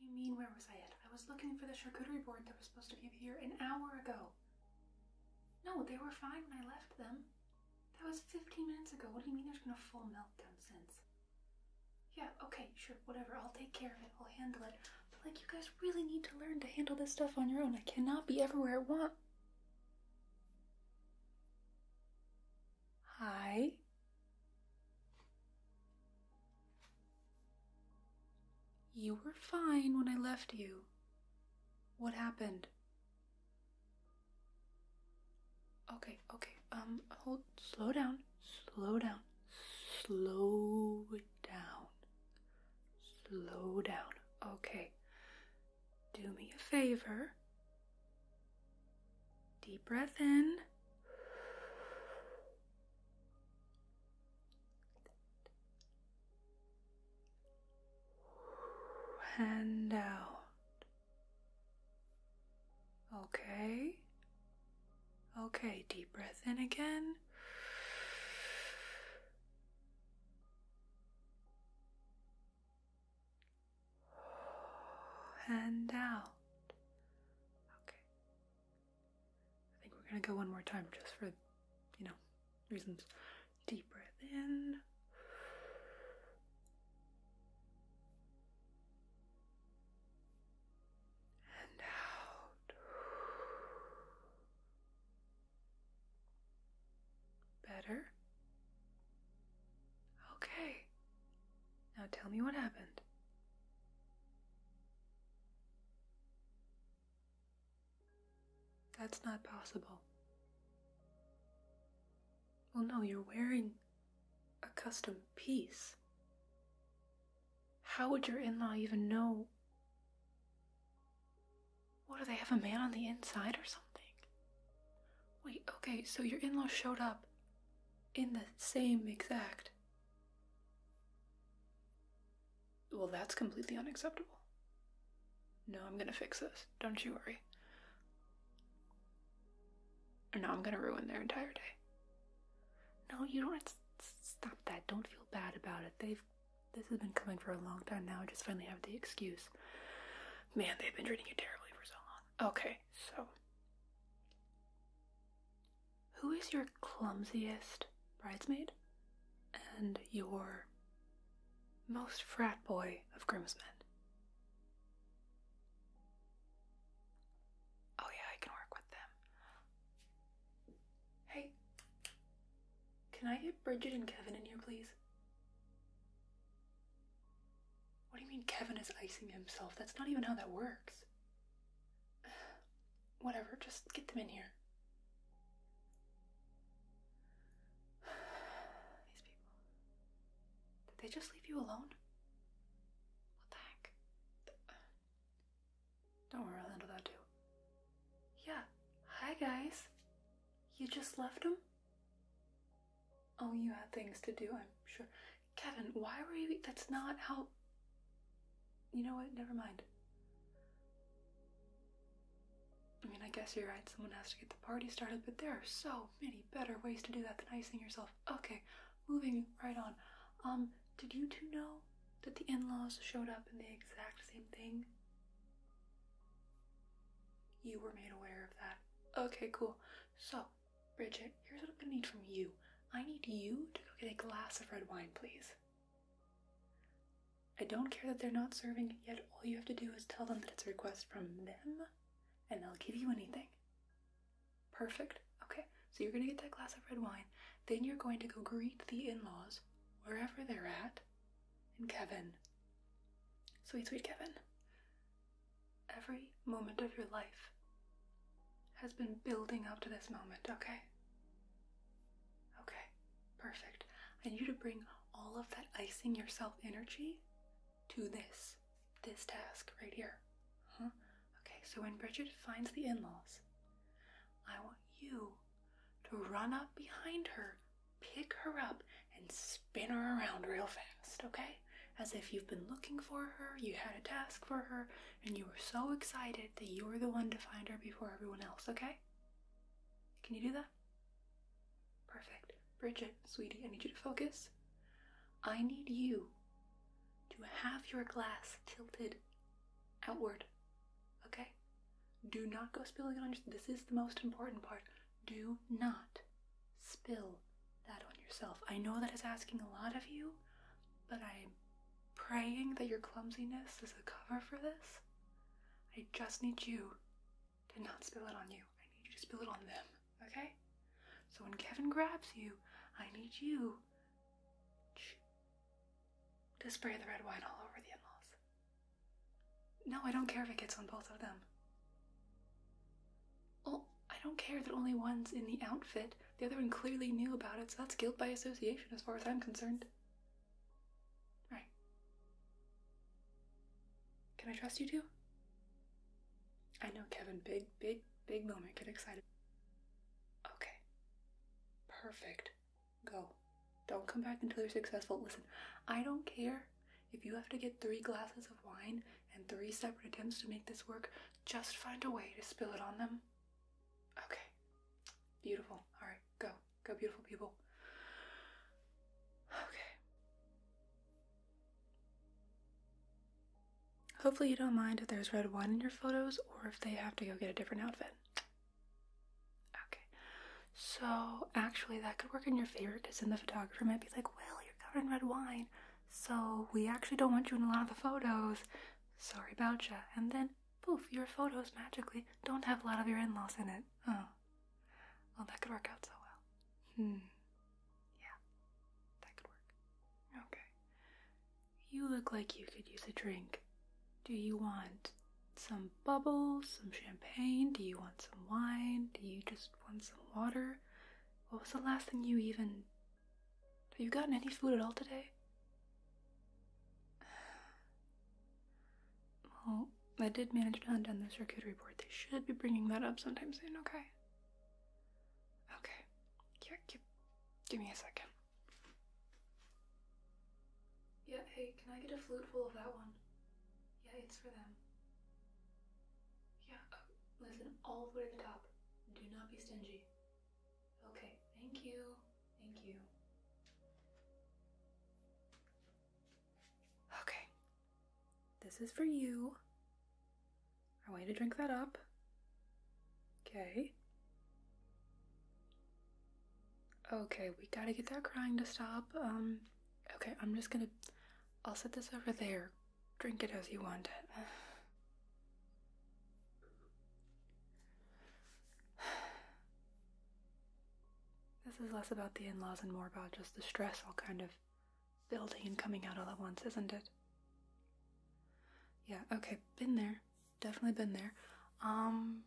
What do you mean, where was I at? I was looking for the charcuterie board that was supposed to be here an hour ago. No, they were fine when I left them. That was 15 minutes ago. What do you mean there's been a full meltdown since? Yeah, okay, sure, whatever. I'll take care of it. I'll handle it. But, like, you guys really need to learn to handle this stuff on your own. I cannot be everywhere at once. Hi. You were fine when I left you. What happened? Okay, okay. Um, hold. Slow down. Slow down. Slow down. Slow down. Okay. Do me a favor. Deep breath in and out. Okay. Okay, deep breath in again. And out. Okay. I think we're gonna go one more time just for, you know, reasons. Deep breath in. And out. Better? Okay. Now tell me what happened. That's not possible. Well, no, you're wearing a custom piece. How would your in law even know? What do they have a man on the inside or something? Wait, okay, so your in law showed up in the same exact. Well, that's completely unacceptable. No, I'm gonna fix this. Don't you worry. Or no, I'm gonna ruin their entire day. No, you don't. Stop that. Don't feel bad about it. They've. This has been coming for a long time now. I just finally have the excuse. Man, they've been treating you terribly for so long. Okay, so who is your clumsiest bridesmaid and your most frat boy of groomsmen? Oh, yeah, I can work with them. Hey, can I get Bridget and Kevin in here, please? What do you mean Kevin is icing himself? That's not even how that works. Whatever, just get them in here. These people. Did they just leave you alone? What the heck? Don't worry, I'll handle that too. Yeah. Hi, guys. You just left them. Oh, you had things to do, I'm sure. Kevin, why were you. That's not how. You know what? Never mind. I mean, I guess you're right. Someone has to get the party started, but there are so many better ways to do that than icing yourself. Okay, moving right on. Um, did you two know that the in laws showed up in the exact same thing? You were made aware of that. Okay, cool. So, Bridget, here's what I'm gonna need from you. I need you to go get a glass of red wine, please. I don't care that they're not serving yet, all you have to do is tell them that it's a request from them, and they'll give you anything. Perfect. Okay, so you're gonna get that glass of red wine, then you're going to go greet the in laws, wherever they're at, and Kevin. Sweet, sweet Kevin. Every moment of your life has been building up to this moment, okay? Okay, perfect. I need you to bring all of that icing yourself energy to this, this task right here. Okay, so when Bridget finds the in laws, I want you to run up behind her, pick her up, and spin her around real fast, okay? As if you've been looking for her, you had a task for her, and you were so excited that you were the one to find her before everyone else, okay? Can you do that? Perfect. Bridget, sweetie, I need you to focus. I need you to have your glass tilted outward, okay? Do not go spilling it on your. This is the most important part do not spill that on yourself. I know that is asking a lot of you, but I'm praying that your clumsiness is a cover for this. I just need you to not spill it on you. I need you to spill it on them, okay? So when Kevin grabs you, I need you to spray the red wine all over the in No, I don't care if it gets on both of them. Well, I don't care that only one's in the outfit. The other one clearly knew about it, so that's guilt by association as far as I'm concerned. Alright. Can I trust you too? I know, Kevin. Big, big, big moment. Get excited. Okay. Perfect. Go. Don't come back until you're successful. Listen, I don't care if you have to get three glasses of wine and three separate attempts to make this work, just find a way to spill it on them. Okay. Beautiful. Alright, go. Go, beautiful people. Okay. Hopefully, you don't mind if there's red wine in your photos or if they have to go get a different outfit. Okay. So, actually, that could work in your favor because then the photographer might be like, Well, you're covered in red wine. So we actually don't want you in a lot of the photos. Sorry about ya. And then, poof, your photos magically don't have a lot of your in-laws in it. Oh. Well, that could work out so well. Hmm. Yeah. That could work. Okay. You look like you could use a drink. Do you want some bubbles, some champagne? Do you want some wine? Do you just want some water? What was the last thing you even. Have you gotten any food at all today? Well, I did manage to hunt down the circuitry board. They should be bringing that up sometime soon, okay? Okay. Here, give, give me a second. Yeah, hey, can I get a flute full of that one? Yeah, it's for them. Yeah, listen, all the way to the top. Do not be stingy. Okay, thank you. Thank you. Okay. This is for you. I want you to drink that up. Okay. Okay, we gotta get that crying to stop. Um, okay, I'm just gonna. I'll set this over there. Drink it as you want it. This is less about the in laws and more about just the stress all kind of building and coming out all at once, isn't it? Yeah, okay, been there. Definitely been there. Um.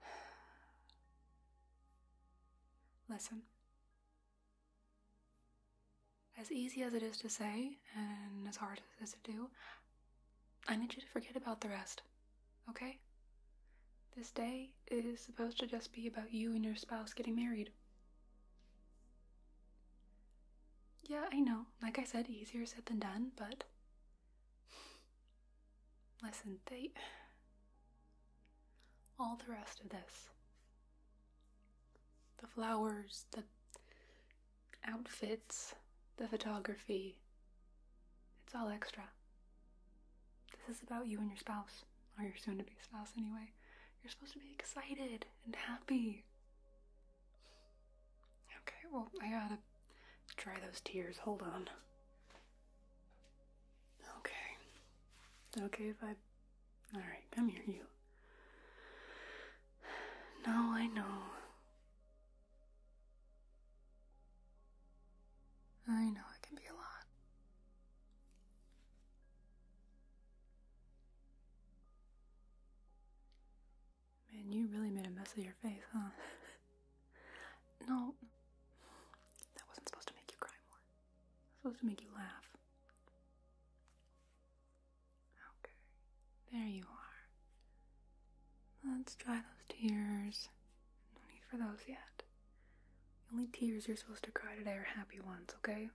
Listen. As easy as it is to say, and as hard as it is to do, I need you to forget about the rest, okay? This day is supposed to just be about you and your spouse getting married. Yeah, I know. Like I said, easier said than done, but Listen, they. All the rest of this. The flowers, the outfits, the photography. It's all extra. This is about you and your spouse, or your soon to be spouse anyway. You're supposed to be excited and happy. Okay, well, I gotta dry those tears. Hold on. Okay. okay if I. Alright, come here, you. Now I know. I know it can be a lot. Man, you really made a mess of your face, huh? No, that wasn't supposed to make you cry more. That's supposed to make you laugh. Okay, there you are. Let's dry those tears. No need for those yet. The only tears you're supposed to cry today are happy ones, okay?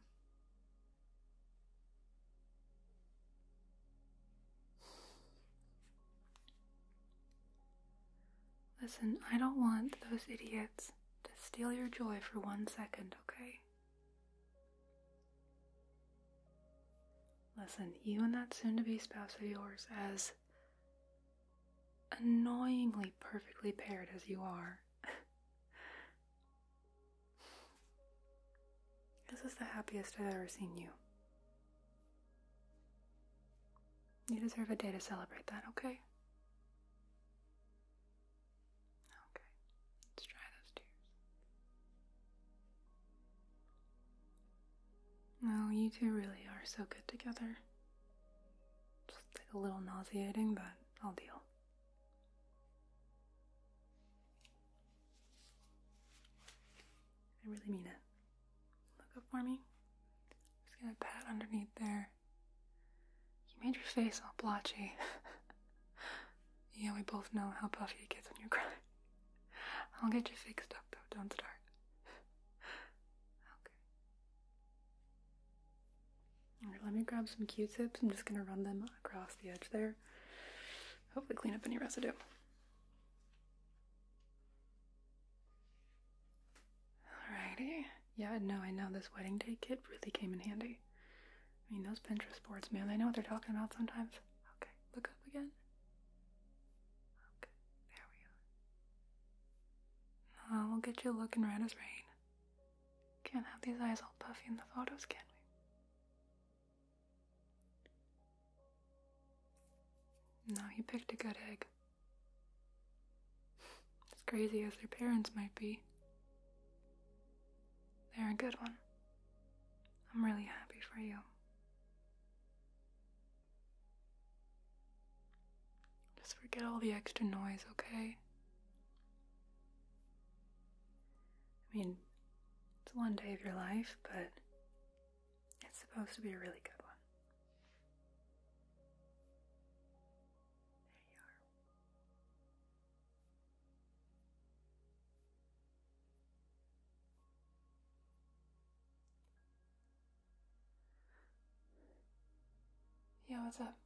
Listen, I don't want those idiots to steal your joy for one second, okay? Listen, you and that soon to be spouse of yours, as annoyingly perfectly paired as you are, this is the happiest I've ever seen you. You deserve a day to celebrate that, okay? Okay, let's try those tears. Oh, you two really are so good together. Just a little nauseating, but I'll deal. I really mean it. Look up for me. Just gonna pat underneath there. You made your face all blotchy. yeah, we both know how puffy it gets when you cry. I'll get you fixed up though, don't start. okay. Alright, let me grab some q tips. I'm just gonna run them across the edge there. Hopefully, clean up any residue. Alrighty. Yeah, no, I know this wedding day kit really came in handy. I mean, those Pinterest boards, man, I know what they're talking about sometimes. Okay, look up again. Okay, there we go. Oh, we'll get you looking red as rain. Can't have these eyes all puffy in the photos, can we? No, you picked a good egg. As crazy as their parents might be, they're a good one. I'm really happy for you. Just forget all the extra noise, okay? I mean, it's one day of your life, but it's supposed to be a really good one. Yeah, what's up?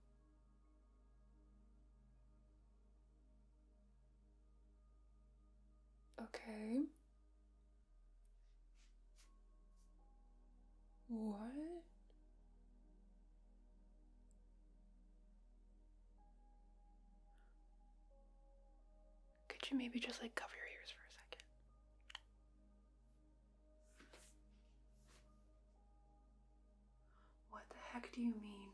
Okay. What? Could you maybe just like cover your ears for a second? What the heck do you mean?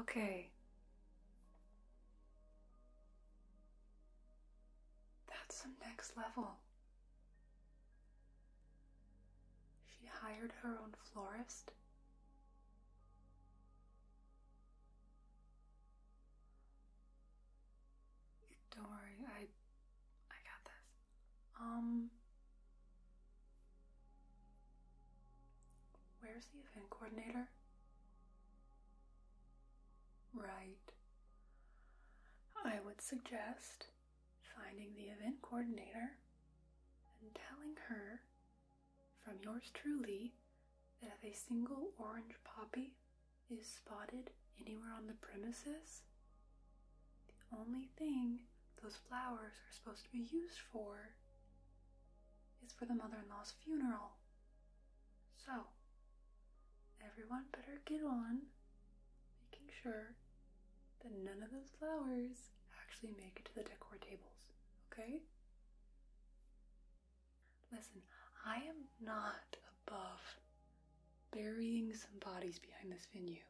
Okay. That's some next level. She hired her own florist. Don't worry, I I got this. Um, where's the event coordinator? Right. I would suggest finding the event coordinator and telling her from yours truly that if a single orange poppy is spotted anywhere on the premises, the only thing those flowers are supposed to be used for is for the mother in law's funeral. So, everyone better get on making sure that none of those flowers actually make it to the decor tables, okay? Listen, I am not above burying some bodies behind this venue.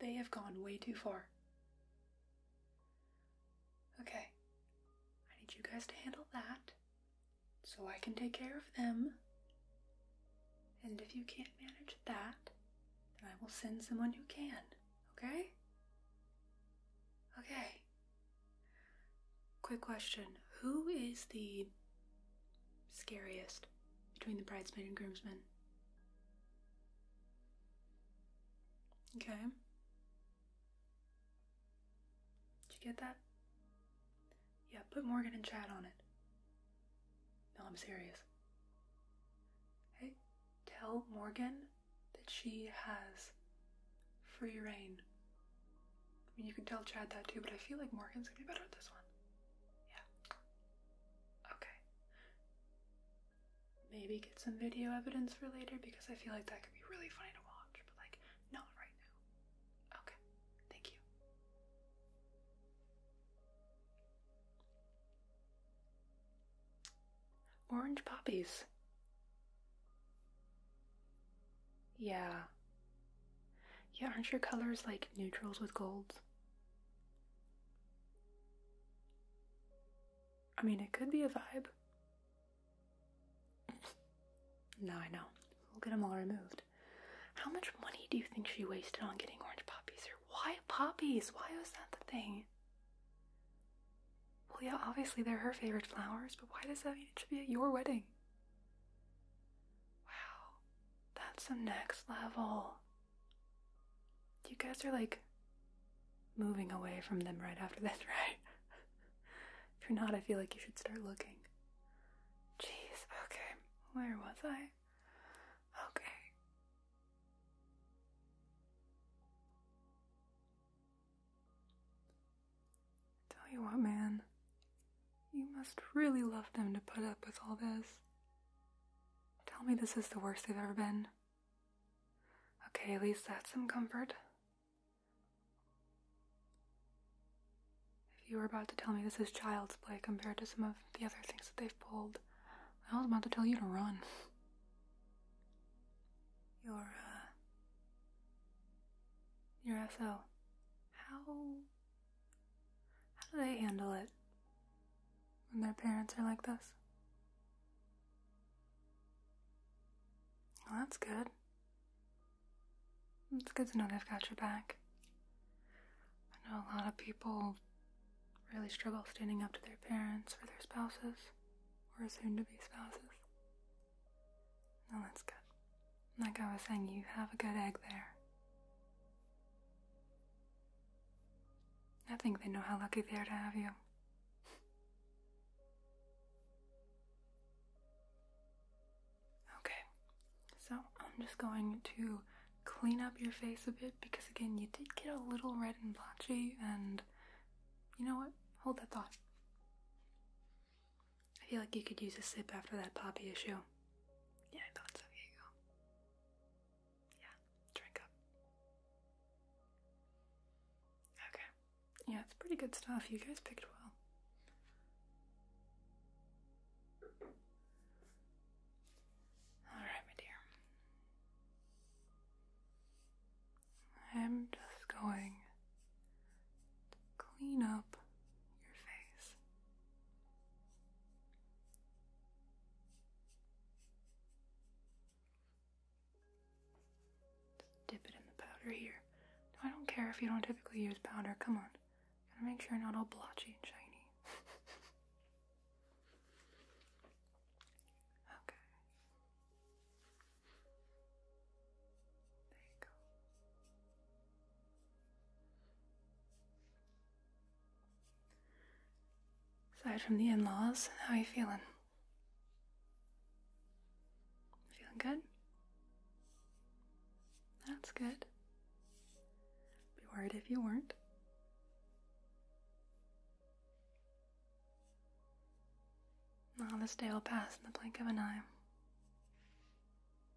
They have gone way too far. Okay, I need you guys to handle that so I can take care of them. And if you can't manage that, then I will send someone who can, okay? Okay. Quick question Who is the scariest between the bridesmaid and groomsmen. Okay. Did you get that? Yeah, put Morgan and Chad on it. No, I'm serious. Hey, tell Morgan that she has free reign. I mean, you could tell Chad that too, but I feel like Morgan's gonna be better at this one. Yeah. Okay. Maybe get some video evidence for later because I feel like that could be really funny to watch, but like, not right now. Okay, thank you. Orange poppies. Yeah. Yeah, aren't your colors like neutrals with golds? I mean, it could be a vibe. now I know. We'll get them all removed. How much money do you think she wasted on getting orange poppies? Or white poppies? Why was that the thing? Well, yeah, obviously they're her favorite flowers, but why does that mean it should be at your wedding? Wow. That's the next level. You guys are like moving away from them right after this, right? if you're not, I feel like you should start looking. Jeez, okay. Where was I? Okay. Tell you what, man. You must really love them to put up with all this. Tell me this is the worst they've ever been. Okay, at least that's some comfort. If you were about to tell me this is child's play compared to some of the other things that they've pulled, I was about to tell you to run. Your, uh, your SO. How how do they handle it when their parents are like this? Well, that's good. It's good to know they've got your back. I know a lot of people really struggle standing up to their parents or their spouses or soon to be spouses. No, that's good. Like I was saying, you have a good egg there. I think they know how lucky they are to have you. okay, so I'm just going to clean up your face a bit because, again, you did get a little red and blotchy, and you know what? Hold that thought. I feel like you could use a sip after that poppy issue. Yeah, I thought so. Yeah, drink up. Okay. Yeah, it's pretty good stuff. You guys picked well. Alright, my dear. I'm just going clean up your face. dip it in the powder here. I don't care if you don't typically use powder. Come on. Gotta make sure not all blotchy and shiny. okay. There you go. Aside from the in laws, how are you feeling? Feeling good? That's good. Be worried if you weren't. Now this day will pass in the blink of an eye.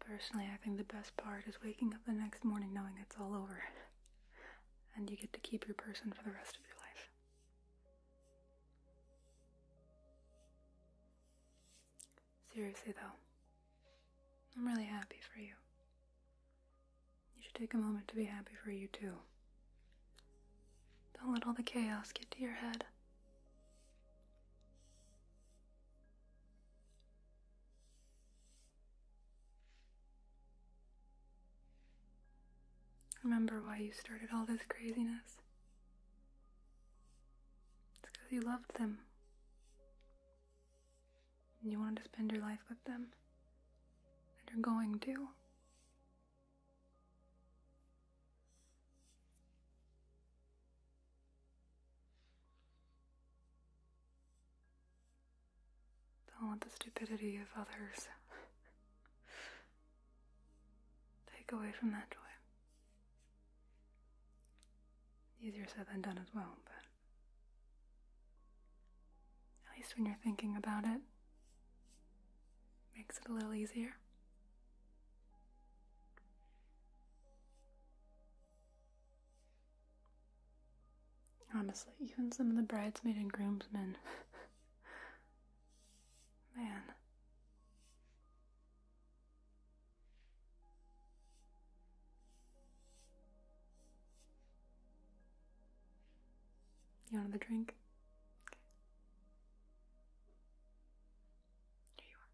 Personally, I think the best part is waking up the next morning knowing it's all over and you get to keep your person for the rest of your life. Seriously, though, I'm really happy for you. You should take a moment to be happy for you, too. Don't let all the chaos get to your head. Remember why you started all this craziness? It's because you loved them you wanted to spend your life with them, and you're going to. Don't let the stupidity of others take away from that joy. Easier said than done as well, but at least when you're thinking about it, makes it a little easier. Honestly, even some of the bridesmaids and groomsmen. Man. You want another drink? Here you are.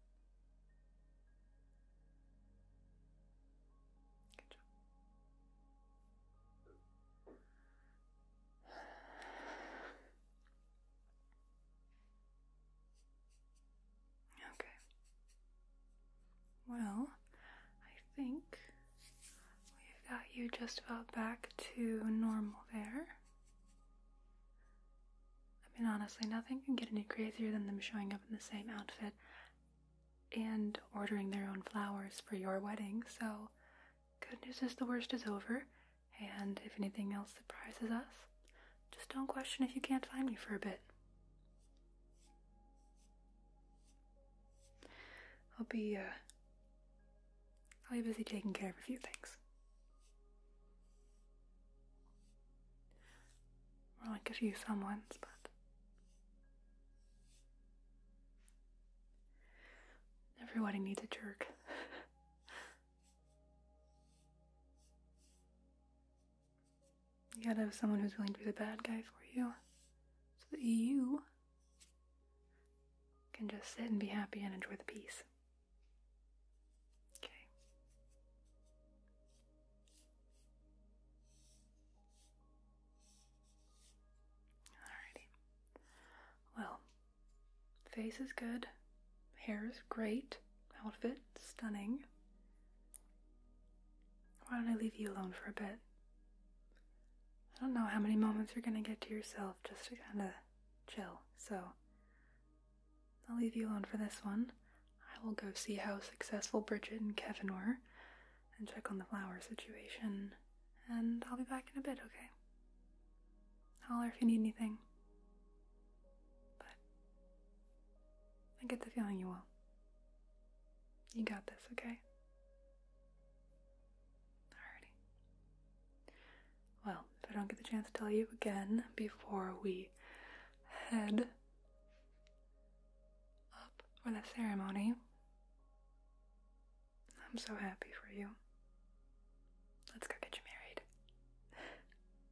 Good job. Okay. Well, I think we've got you just about back to normal there. I mean, honestly, nothing can get any crazier than them showing up in the same outfit and ordering their own flowers for your wedding, so good news is the worst is over, and if anything else surprises us, just don't question if you can't find me for a bit. I'll be, uh, I'll be busy taking care of a few things. More like a few ones, but. Everybody needs a jerk. You gotta have someone who's willing to be the bad guy for you. So that you can just sit and be happy and enjoy the peace. Okay. Alrighty. Well, face is good. Hair is great. Outfit, stunning. Why don't I leave you alone for a bit? I don't know how many moments you're gonna get to yourself just to kinda chill, so I'll leave you alone for this one. I will go see how successful Bridget and Kevin were and check on the flower situation, and I'll be back in a bit, okay? Holler if you need anything. But I get the feeling you will. You got this, okay? Alrighty. Well, if I don't get the chance to tell you again before we head up for the ceremony, I'm so happy for you. Let's go get you married.